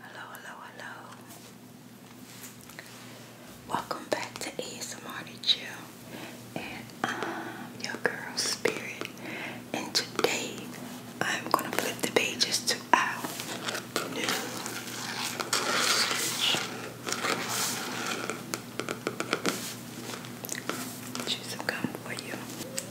Hello, hello, hello. Welcome back to ASMR to Chill. And um, your girl Spirit. And today I'm gonna flip the pages to our new research. Choose some gum for you.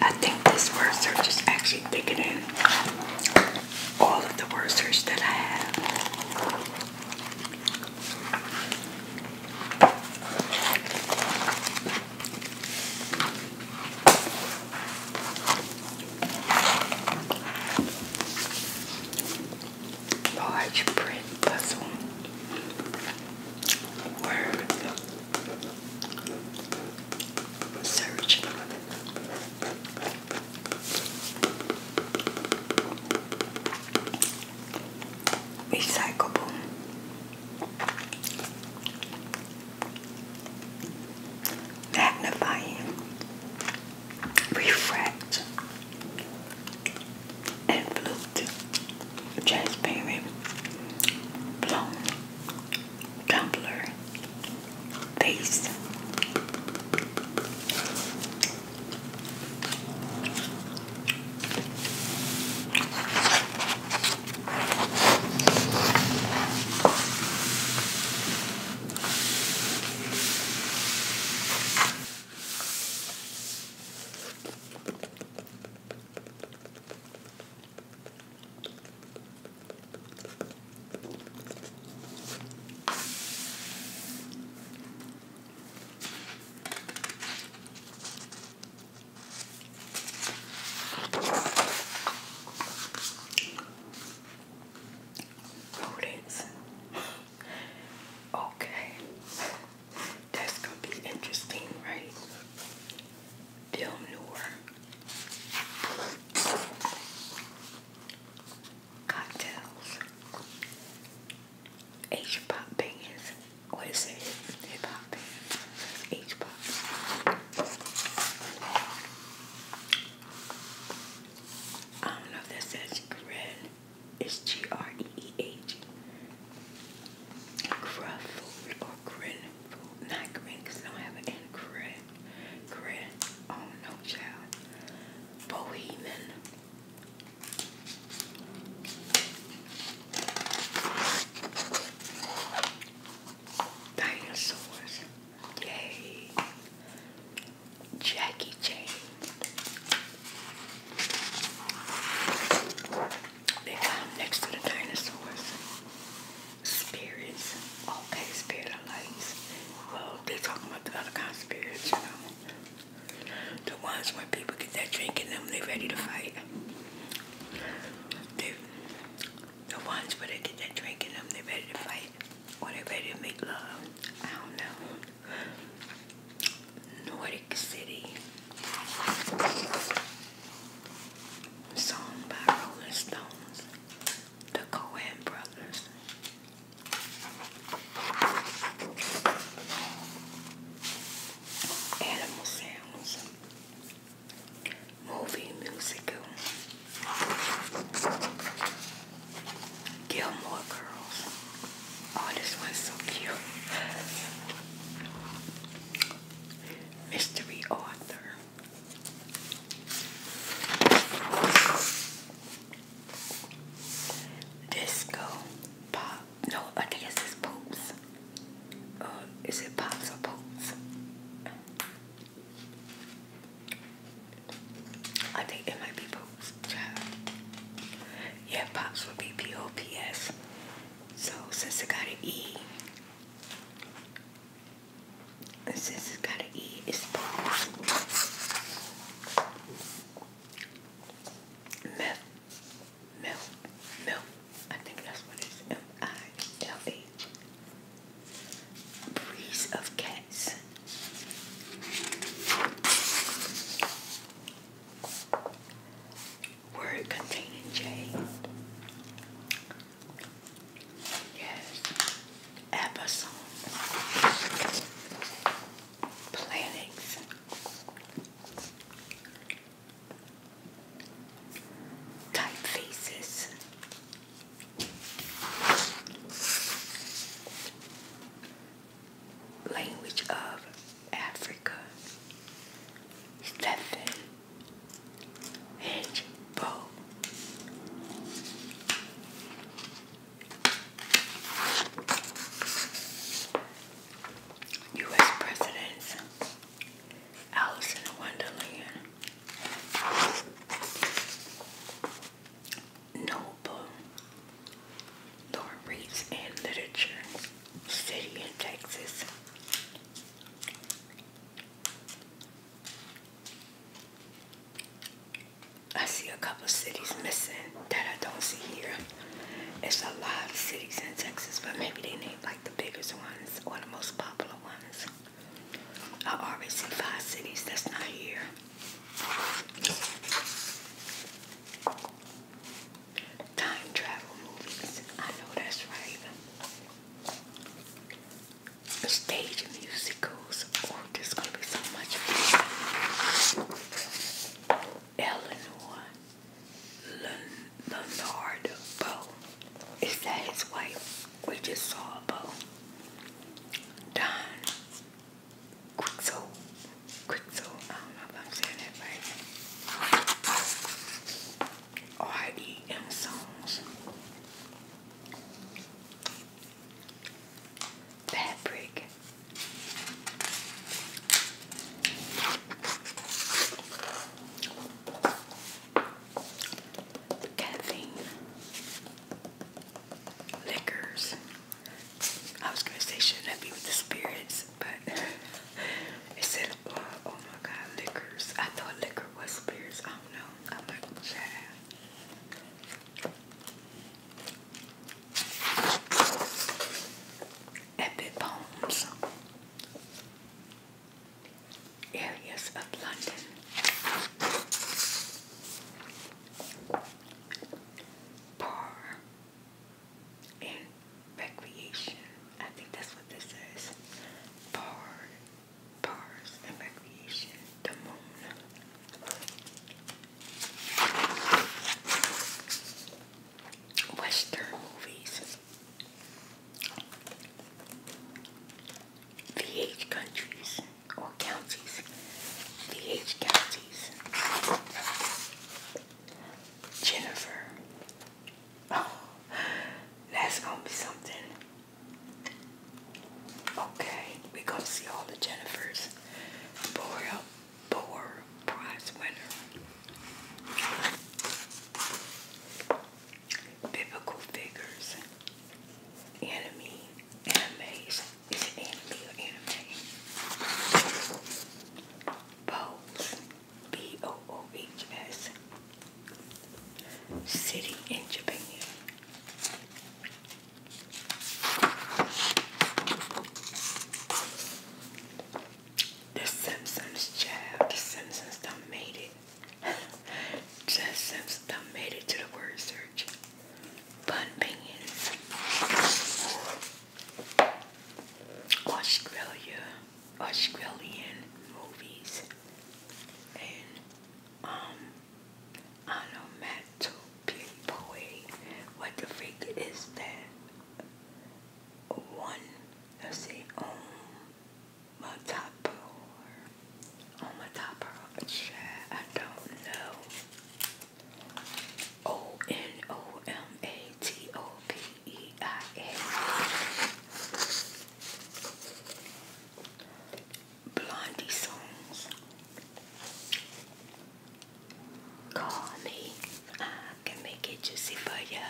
I think these words are just actually in all of the word search that I have. Large print puzzle word search. Recyclable. Magnifying. Refract. And Transparent. Blown tumbler face. Rodents. Okay. That's going to be interesting, right? Film noir cocktails, H pop bands. What is it? Hip hop bands. H pop. I don't know if that says red. It's G R E E H. Gruff food or grin food. Not grin because I don't have an N. Grin. Grin. Oh no, child. Bohemian. Dinosaurs. Yay. Jackie Chan. They got next to the dinosaurs spirits. Okay, spirit of lights. Well, they're talking about the other kind of spirits, you know. The ones when people get that drink in them, they're ready to fight. They, the ones where they get that drink in them, they're ready to fight. When they're ready to make love. I don't know. Nordic City. Song by Rolling Stones the Cohen brothers. Animal sounds. Movie musical. Gilmore Girls. Oh, this one's so cute. Mystery author. Disco pop. No, I guess it's poops. Uh, is it pops or poops? I think it might be poops. Yeah, pops would be P O P S. So since it got an E, this it's gotta eat, it's milk, milk, milk. I think that's what it's M I L A. Breeze of cats. Word containing J. Yes. Amazon. Planets. Typefaces. Language of Africa. Stephen Hedge bow. U.S. Presidents Alice in Wonderland Noble Lauren Reads and Literature City in Texas I see a couple cities missing that I don't see here. It's a lot of cities in Texas, but maybe they named like the biggest ones or the most popular ones. I already see five cities that's not here. Time travel movies. I know that's right stage musicals. Oh, this is gonna be so much fun. Eleanor Leonard Bow. Is that his wife? We just saw a bow. Don Quixo. Quixo. I don't know if I'm saying that right. R.E.M. Songs fabric. Caffeine, liquors. I was gonna say should that be with the spirits, but it said, oh, my God, liquors." I thought liquor was spirits. I don't know. I'm like, child epic poems, areas of London, par and recreation. I think that's what this is. Par Parks and Recreation, the moon. Western movies. VH countries or counties. VH counties. Jennifer. Oh, that's gonna be something. Okay, we gonna see all the Jennifers. Boreal Boer Prize winner. Biblical figures. Enemy. Animes. Is it enemy or anime? Bose. B-O-O-H-S. City in Japan. The Simpsons child, the Simpsons done made it. Just Simpsons done made it to the word search. Bun Binions. Australia, Australian movies. And um onomatopoeia. What the freak is that? One, let's see, onomatopoeia. Onomatopoeia, I don't know. O-N-O-M-A-T-O-P-E-I-A. Blondie songs. Call me, I can make it juicy for ya.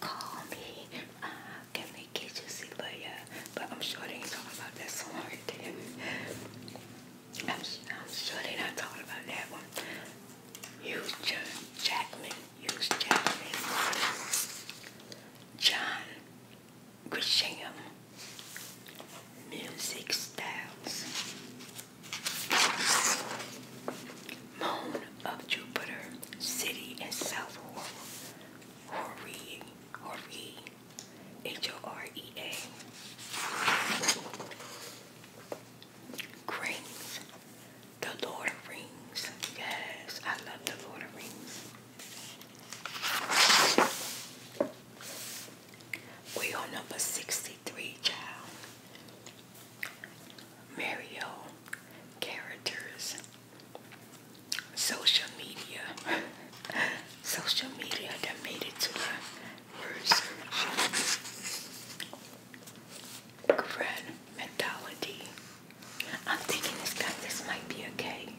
Call me, I can make it juicy for ya. But I'm sure they ain't talking about that song I'm, sure they not talking about that one. Hugh Jackman, Hugh Jackman, John Grisham Music Styles Moon of Jupiter City in South Horee Horee H-O-R-E-A Grains The Lord of Rings Yes, I love the Lord of Rings we on number 63, child. Mario characters. Social media. Social media that made it to the word search. mentality. I'm thinking this guy this might be okay.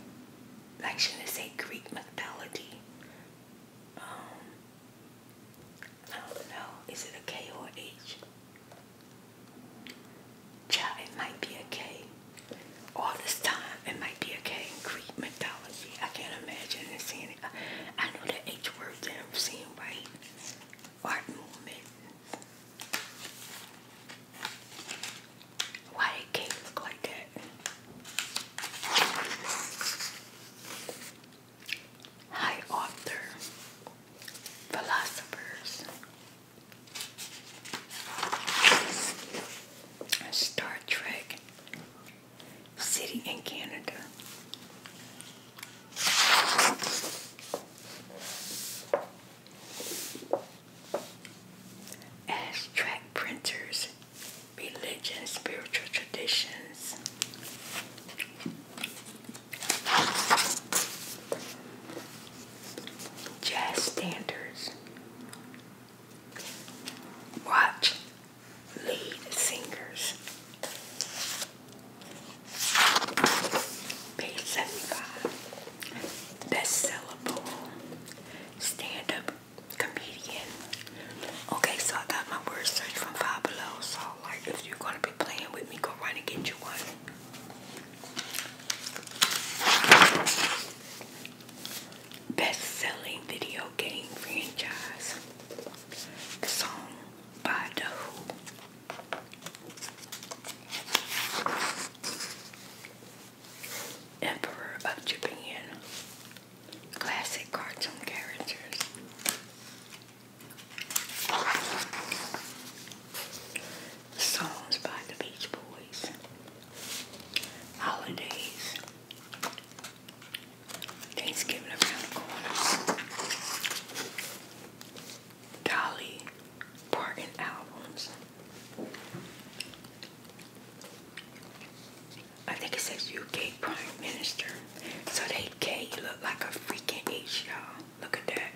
Like should say Greek mythology? Um, I don't know, is it a K or H? Child, it might be a K. All this time, it might be a K Greek mythology. I can't imagine it seeing it. I know the H word I'm seeing right. Art movement. Why did look like that? High author, philosophers, Star Trek, City in Canada. As track printers religion, spiritual traditions. Jazz standards. Watch lead singers. Page 75. Best stand up comedian. Okay, so I got my word search from Five Below. So, like, if you're gonna be playing with me, go run and get you one. Best-selling video game franchise. song by The Emperor of Japan classic cartoon characters. Songs by the Beach Boys. Holidays. Thanksgiving around the corner. Dolly Parton albums. I think it says UK Prime Minister. So they K look like a freaking H, y'all. Look at that.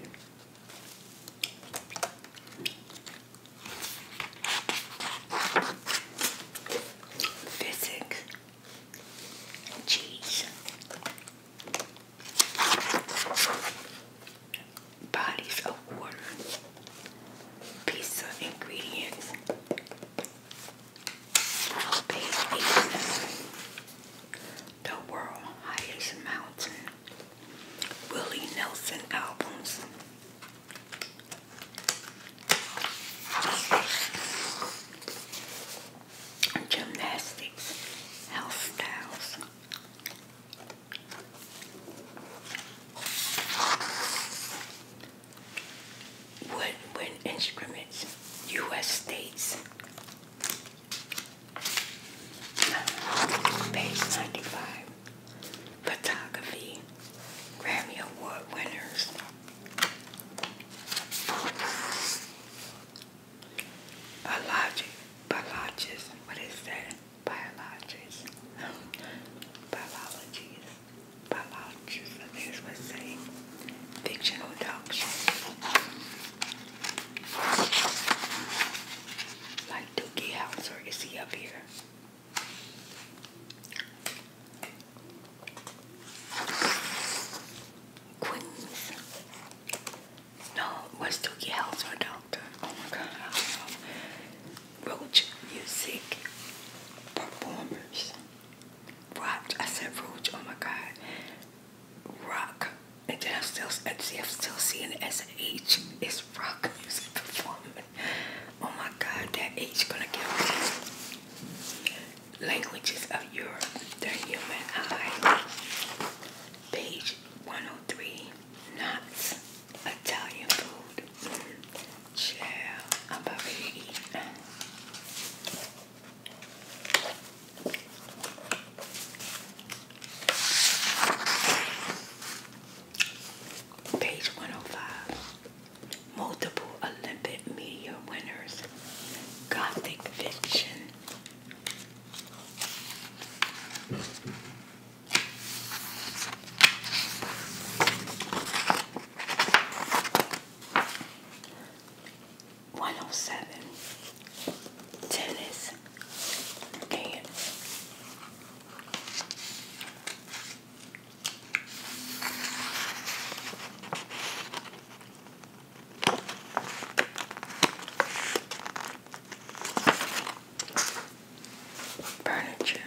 Physics. Cheese. Bodies of water. Pizza ingredients. Page 87. The World Highest Mountain. Willie Nelson Albums. Gymnastics, health styles, Woodwind instruments, U.S. states. Page 95. Photography. Grammy Award winners. A logic, What is that? Biologist. Biologies biologists, I think it's what it's saying, fictional dogs. Like Dookie House, is he up here? Queens. No, was Dookie House or Doctor? Oh my god, Roach music performers rocked. I said Rouge, oh my god. Rock. And then I'm still, see, I'm still seeing it as an H. It's rock music performance. Oh my god, that H gonna get me. Languages of Europe, the human eye. Page 103, knots. Italian food. Chill. I'm about to eat. Page 105. Multiple Olympic medal winners. Gothic fiction. 107 tennis game. Furniture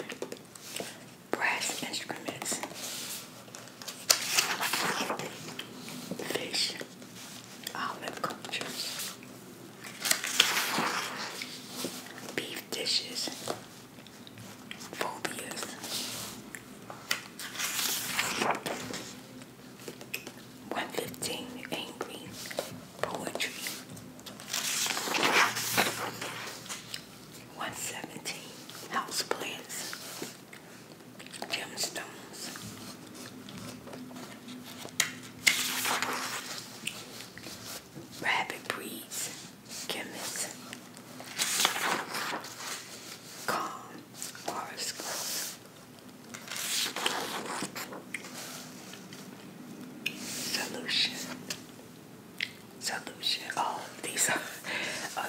brass instruments, fish, olive cultures, beef dishes, phobias, one fifteen angry poetry. 117 houseplants, gemstones. Rabbit breeds, chemists, calm horoscopes. Solution solution. All oh, these are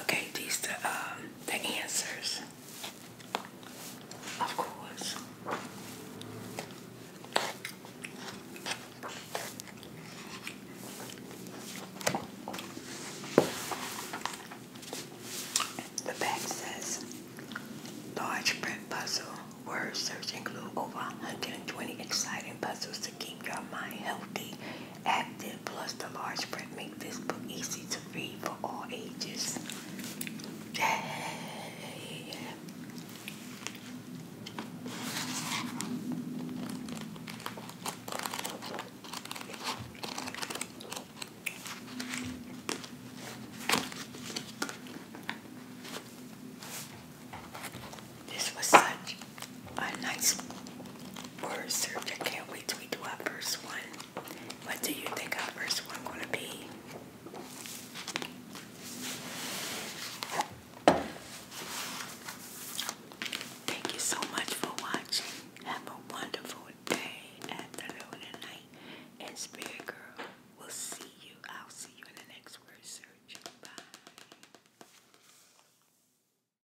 okay. These are um, the answers, of course. The back says large print puzzle word search include over 120 exciting puzzles to keep your mind healthy active, plus the large print make this book easy to read for all ages. This was such a nice word search. I can't wait till we do our first one. What do you think our first one's gonna be? Thank you so much for watching. Have a wonderful day, afternoon, and night. And Spirit Girl, we'll see you. I'll see you in the next word search. Bye.